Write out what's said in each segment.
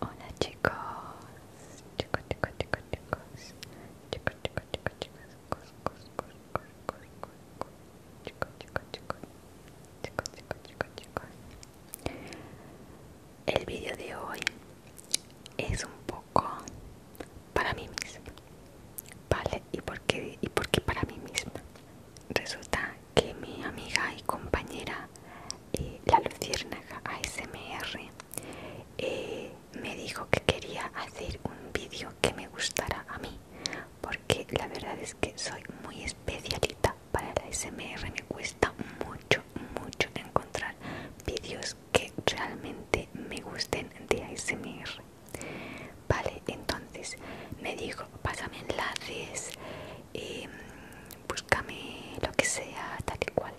Hola chicos, chicos, chicos, chicos, chicos, chicos, chicos, chicos, chicos, chicos, chicos, chicos, chicos, chicos, chicos, chicos. El vídeo de hoy es un poco para mí misma, ¿vale? ¿Y para mí misma? Resulta que mi amiga y compañera eh, la luciérnaga ASMR eh, me dijo que quería hacer un vídeo que me gustara a mí porque la verdad es que soy muy especialita para la ASMR me cuesta mucho mucho encontrar vídeos que realmente me gusten de ASMR Vale, entonces me dijo, pásame enlaces, eh, búscame lo que sea, tal y cual.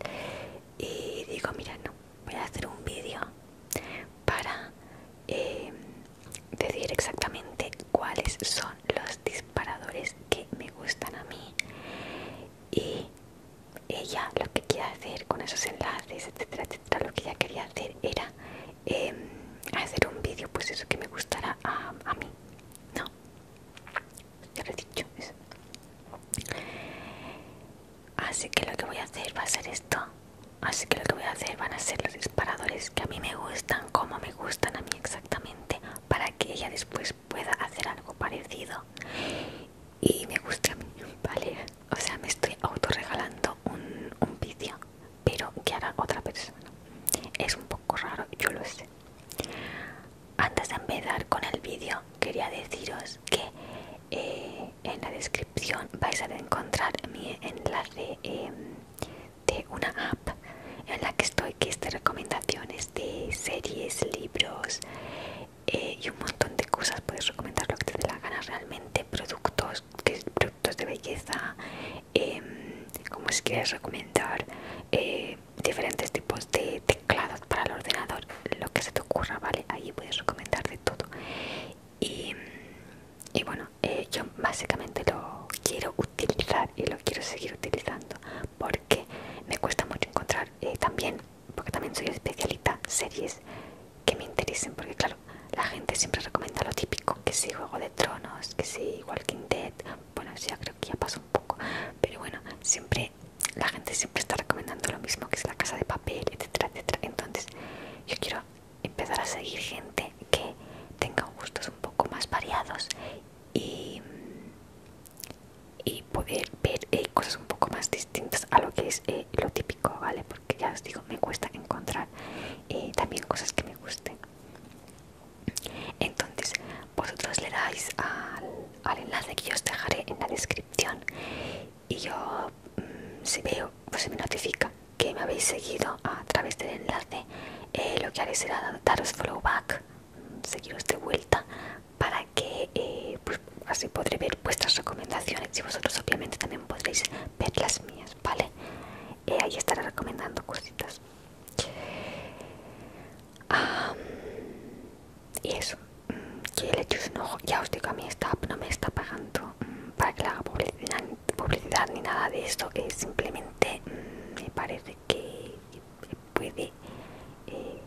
Y digo, mira, no, voy a hacer un vídeo para eh, decir exactamente cuáles son los disparadores que me gustan a mí. Y ella lo que quería hacer con esos enlaces, etcétera, etcétera, lo que ella quería hacer era Em, hacer un vídeo pues eso que me gustara a, mí no ya lo he dicho eso. así que lo que voy a hacer va a ser esto así que lo que voy a hacer van a ser los disparadores que a mí me gustan como me gustan a mí exactamente para que ella después pueda hacer algo parecido y me gusta a mí vale o sea me estoy autorregalando un, un vídeo pero que hará otra persona. Es un poco raro, yo lo sé. Antes de empezar con el vídeo, quería deciros que eh, en la descripción vais a encontrar mi enlace em, de una app en la que estoy, que es recomendaciones de series, libros eh, y un montón de cosas. Puedes recomendar lo que te dé la gana realmente, productos productos, de belleza, em, como si quieres recomendar eh, diferentes tipos de teclados para el ordenador, lo que se te ocurra, ¿vale? Ahí puedes recomendar de todo. Y, bueno, eh, yo básicamente lo quiero utilizar y lo quiero seguir utilizando porque me cuesta mucho encontrar eh, también, porque también soy especialista series que me interesen, porque claro, la gente siempre recomienda lo típico, que si Juego de Tronos, que si Walking Dead, bueno, ya creo que ya pasó un poco, pero bueno, siempre la gente siempre está recomendando lo mismo, que es la casa de papel, etcétera, etcétera. Entonces, yo quiero empezar a seguir gente que tenga gustos un poco más variados y, poder ver eh, cosas un poco más distintas a lo que es eh, lo típico, ¿vale? Que ya os digo, me cuesta encontrar eh, también cosas que me gusten. Entonces, vosotros le dais al, enlace que os dejaré en la descripción y yo, mm, si veo, pues se me notifica que me habéis seguido a través del enlace. Eh, lo que haré será daros follow back, mm, seguiros de vuelta para que eh, pues, así podré ver vuestras recomendaciones y vosotros obviamente también podréis verlas mías, ¿vale? Eh, ahí estaré recomendando cositas. y eso, mm, que le hecho un Ya os digo, a mí esta no me está pagando mm, para que le haga publicidad, ni nada de esto que simplemente mm, me parece que puede, eh,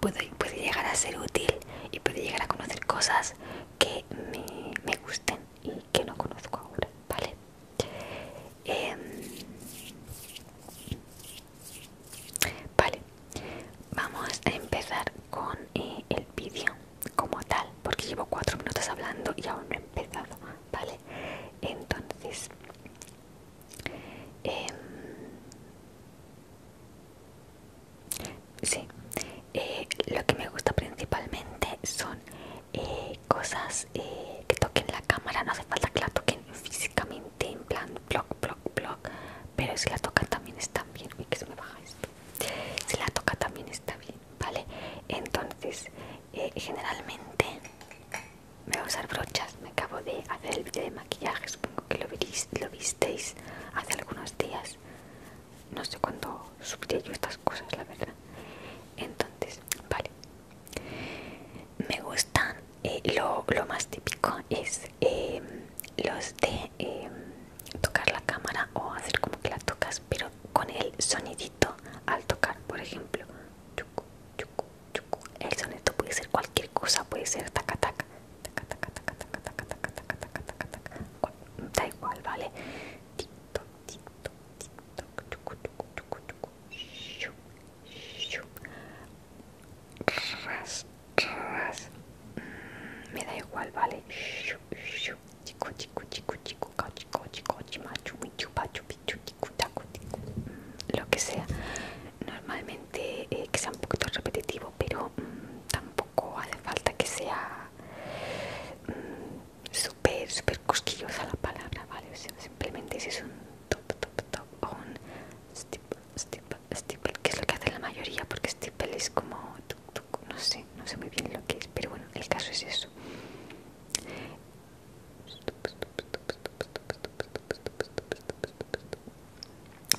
puede, puede llegar a ser útil y puede llegar a conocer cosas que me, gusten y que no conozco ahora, ¿vale? Em, vale, vamos a empezar con eh, el vídeo como tal, porque llevo cuatro minutos hablando y aún no he empezado, ¿vale? Entonces, eh, Sí, eh, lo que me gusta principalmente son eh, cosas eh, que toquen la cámara, no hace falta que la toquen físicamente, en plan block, block, block, pero si la tocan también está bien. Uy, que se me baja esto. Si la toca también está bien, ¿vale? Entonces, generalmente me voy a usar brochas. Me acabo de hacer el vídeo de maquillaje, supongo que lo visteis hace algunos días no sé cuándo subiré yo estas cosas, la verdad. Entonces, vale. Me gustan, eh, lo, más típico es em, los de em, tocar la cámara o hacer como que la tocas, pero con el sonidito al tocar, por ejemplo. El sonido puede ser cualquier cosa, puede ser tacatac Da igual, ¿vale? tic tic mm, me da igual, ¿vale? Chico, Lo que sea. Normalmente eh, sea un poquito repetitivo pero mm, tampoco hace falta que sea super mm, súper, súper cosquillosa la palabra, ¿vale? O sea, simplemente si es un top, top, top o un stipple steeple, steeple, que es lo que hace la mayoría, porque stipple es como, no sé, no sé muy bien lo que es, pero bueno, el caso es eso.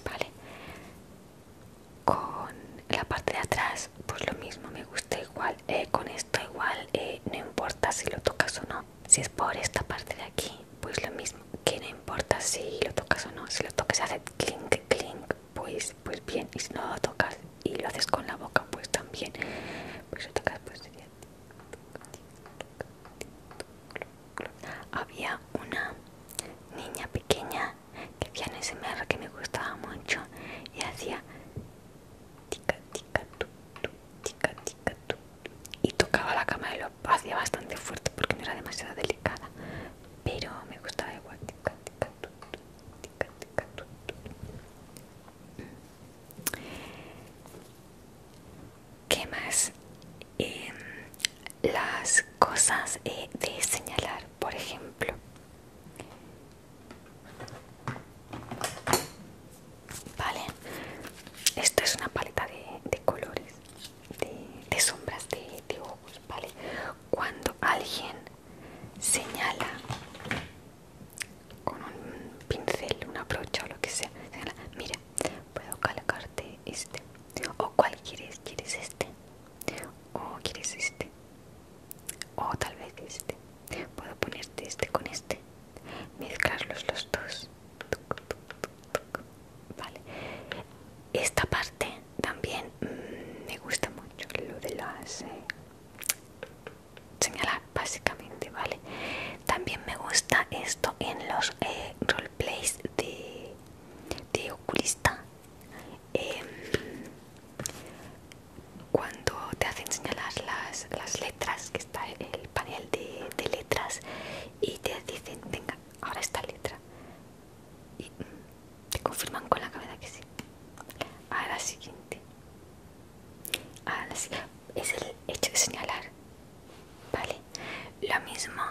Vale, con la parte de atrás pues lo mismo me gusta igual eh, con esto igual eh, no importa si lo tocas o no si es por esta parte de aquí pues lo mismo que no importa si lo tocas o no si lo tocas hace clink clink pues pues bien y si no lo tocas y lo haces con la boca pues también pues lo tocas pues, había una niña pequeña que hacía en ese mar que me gustaba mucho y hacía tica tica tu, tu, tica tica tu, y tocaba la cama y lo hacía bastante fuerte porque no era demasiado delicada, pero me gustaba igual ¿Qué más? Em, las cosas eh, de señalar, por ejemplo. Vale, esto es una paleta de, colores, de, sombras de, ojos, ¿vale? Cuando alguien señala con un pincel, una brocha o lo que sea, señala, mira, puedo calcarte este o cuál quieres quieres este o quieres este o tal vez este puedo ponerte este con este mezclarlos los dos vale esta parte también mm, me gusta mucho lo de las eh, señalar básicamente vale también me gusta esto en los eh, roleplays de, de oculista em, cuando te hacen señalar las, las letras que está el panel de, de letras y te dicen venga ahora esta letra y te confirman con la cabeza que sí ahora siguiente a la siguiente es el hecho de señalar, ¿vale? Lo mismo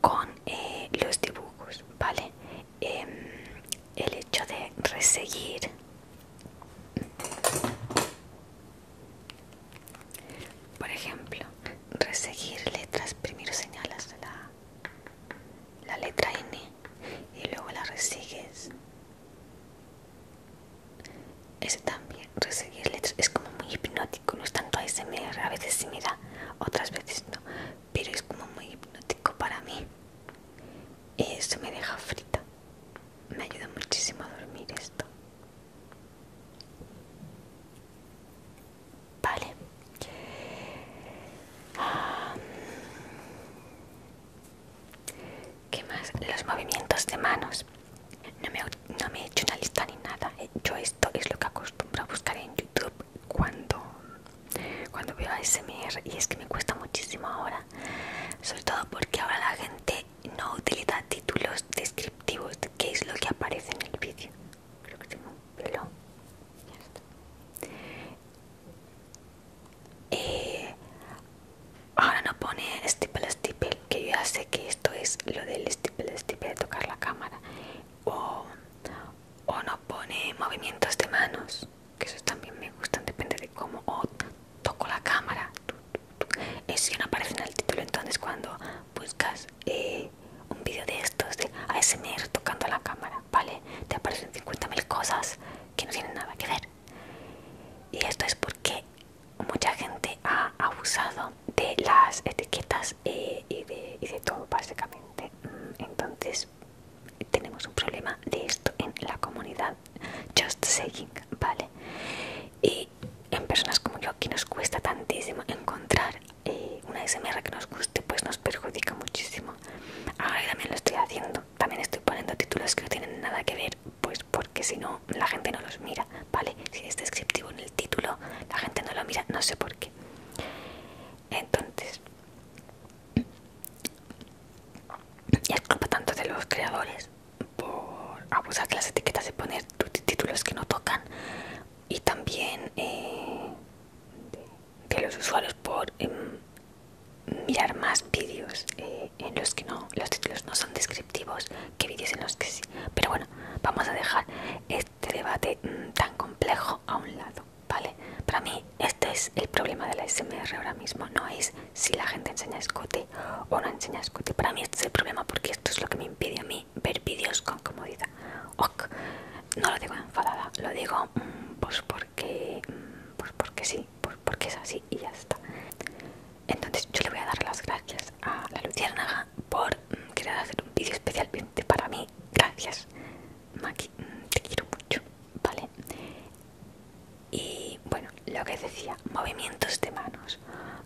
con eh, los dibujos, ¿vale? Em, el hecho de reseguir por ejemplo reseguir letras primero señalas la, la letra N y luego la resigues ese también, reseguir letras, es como muy hipnótico, no es tanto ASMR, a veces sí me da, otras veces no, pero es como muy hipnótico para mí. y Eso me deja frita, me ayuda muchísimo a dormir esto. Vale. Ah, ¿Qué más? Los movimientos de manos. No me, he hecho una lista ni nada. Eh, yo esto es lo que acostumbro a buscar en YouTube cuando, cuando veo SMR. Y es que me cuesta muchísimo ahora. Sobre todo porque ahora la gente no utiliza títulos descriptivos Que es lo que aparece en el vídeo. Creo que tengo pelo. Eh, ahora no pone stipple stipple que yo ya sé que esto es lo del stipple stipple de tocar la cámara o, o no pone movimientos de manos que esos también me gustan depende de cómo o toco la cámara eso no aparece en el título entonces cuando buscas eh, un vídeo de estos de ASMR tocando la cámara vale te aparecen 50.000 cosas que no tienen nada que ver y esto es porque mucha gente ha abusado de las etiquetas eh, y, de, todo básicamente mm, entonces tenemos un problema de esto en la comunidad just saying vale y en personas como yo que nos cuesta tantísimo encontrar eh, una smr que nos guste pues nos perjudica muchísimo ahora también lo estoy haciendo también estoy poniendo títulos que no tienen nada que ver pues porque si no la gente no los mira, ¿vale? Si es descriptivo en el título, la gente no lo mira, no sé por qué. Entonces, y es culpa tanto de los creadores por abusar de las etiquetas y poner títulos que no tocan y también eh, de, los usuarios por em, mirar más vídeos eh, en los que no los títulos no son descriptivos que vídeos en los que sí pero bueno vamos a dejar este debate mm, tan complejo a un lado vale para mí este es el problema de la SMR ahora mismo no es si la gente enseña escote o no enseña escote para mí este es el problema porque esto es lo que me impide a mí ver vídeos con comodidad no lo digo enfadada lo digo mm, pues porque mm, pues porque sí porque es así y ya está. Entonces yo le voy a dar las gracias a la Luciérnaga por mm, querer hacer un vídeo especialmente para mí. Gracias, Maki, mm, te quiero mucho, ¿vale? Y bueno, lo que decía, movimientos de manos.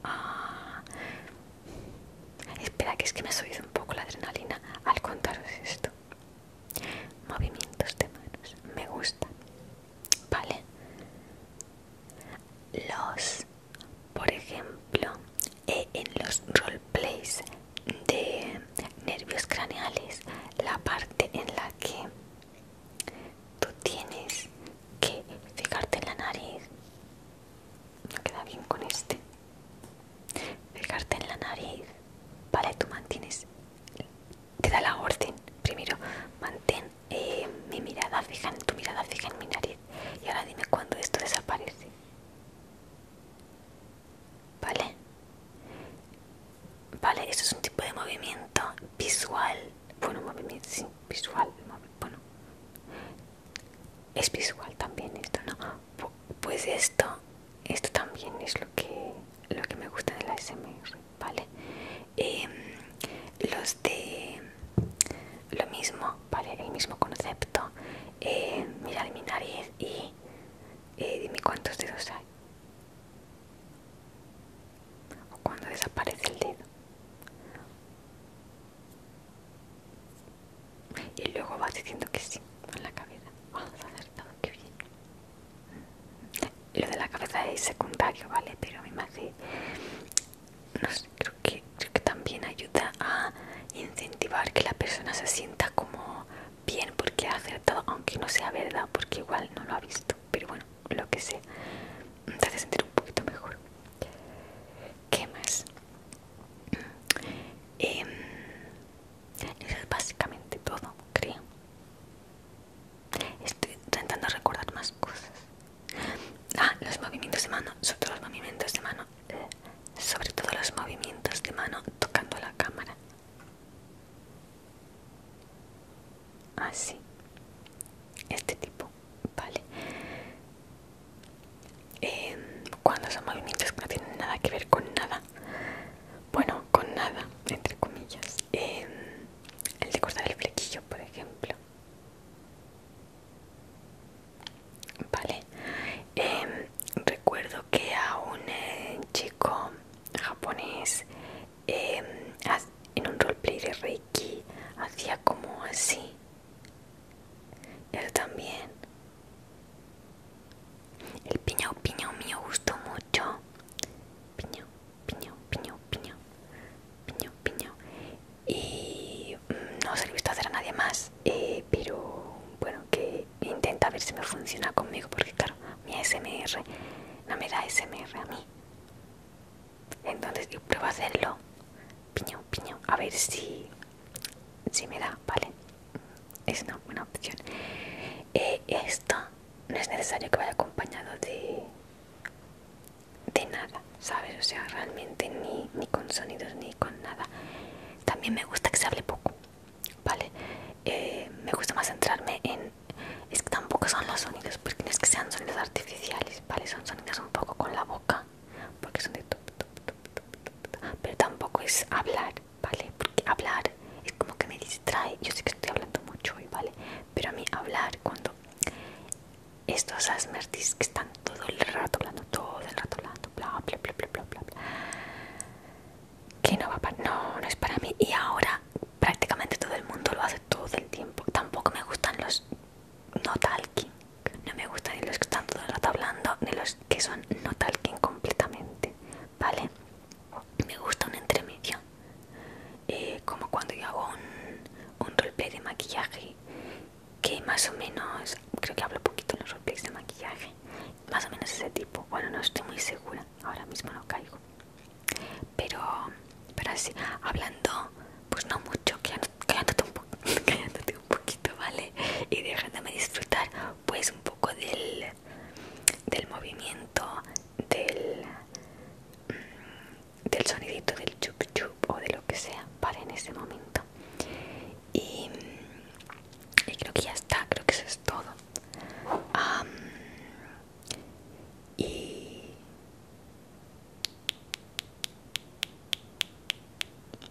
Ah, espera, que es que me ha subido un poco la adrenalina al contaros esto. Movimientos de manos, me gusta ¿Vale? Los, por ejemplo, eh, en los roleplays de nervios craneales, la parte en la que tú tienes que fijarte en la nariz, me queda bien con este, fijarte en la nariz, ¿vale? Tú mantienes te da la orden. Primero, mantén eh, mi mirada fija en tu mirada fija en mi nariz. Y ahora dime cuándo esto desaparece. ¿Vale? Vale, eso es un tipo de movimiento visual. Bueno, movimiento sí, visual. Bueno, es visual también esto, ¿no? Pues esto, esto también es lo que, lo que me gusta de la SMR vale em, los de lo mismo vale el mismo concepto mira eh, mirar mi nariz y eh, dime cuántos dedos hay o cuando desaparece el dedo y luego vas diciendo que sí con la cabeza vamos a hacer todo que bien lo de la cabeza es secundario, ¿vale? Pero me imagino. No sé, creo que, que también ayuda a incentivar que la persona se sienta como bien porque ha acertado, aunque no sea verdad, porque igual no lo ha visto. Pero bueno, lo que sea, te hace sentir un poquito mejor. ¿Qué más? Eh, eso es básicamente todo, creo. Estoy intentando recordar más cosas. Ah, los movimientos de mano, sobre todo los movimientos de mano, eh, sobre todo los movimientos de mano tocando la cámara. Así. Ah, este tipo, vale. Em, cuando son movimientos que no tienen nada que ver con nada bueno con nada entre comillas em, el de cortar el flequillo por ejemplo vale em, recuerdo que a un eh, chico japonés em, en un roleplay de reiki hacía como así él también el piñao, piñao mío gustó mucho. Piñao, piñao, piñao, piñao. Piñao, piñao. Y mm, no se he visto hacer a nadie más. Eh, pero bueno, que intenta ver si me funciona conmigo. Porque claro, mi SMR no me da SMR a mí. Entonces, yo pruebo a hacerlo. Piñao, piñao. A ver si, si me da, ¿vale? es una buena opción. esto no es necesario que vaya acompañado de, de nada, ¿sabes? O sea, realmente ni, ni con sonidos ni con nada. También me gusta que se hable poco, ¿vale? me gusta más centrarme en... Es que tampoco son los sonidos, porque no es que sean sonidos artificiales, ¿vale? Son sonidos un poco con la boca, porque son de... pero tampoco es hablar, ¿vale? Porque hablar es como que me distrae. Yo sé que estoy hablando mucho hoy, ¿vale? Pero a mí hablar cuando estos asmertis que están todo el rato hablando, todo el rato hablando, bla, bla, bla, bla, bla, bla, bla que no va para... No, no es para mí. Y ahora prácticamente todo el mundo lo hace todo el tiempo. Tampoco me gustan los no talking. No me gustan ni los que están todo el rato hablando, ni los que son no tal que completamente, ¿vale? Me gusta un entremedio, eh, como cuando yo hago un, un roleplay de maquillaje, que más o menos, creo que hablo poquito en los roleplays de maquillaje, más o menos ese tipo, bueno, no estoy muy segura, ahora mismo no caigo, pero, pero así, hablando, pues no mucho, cállate un, un poquito, ¿vale? Y déjame disfrutar pues un poco del, del movimiento del, mm, del sonidito del chup chup o de lo que sea para en ese momento y, mm, y creo que ya está creo que eso es todo y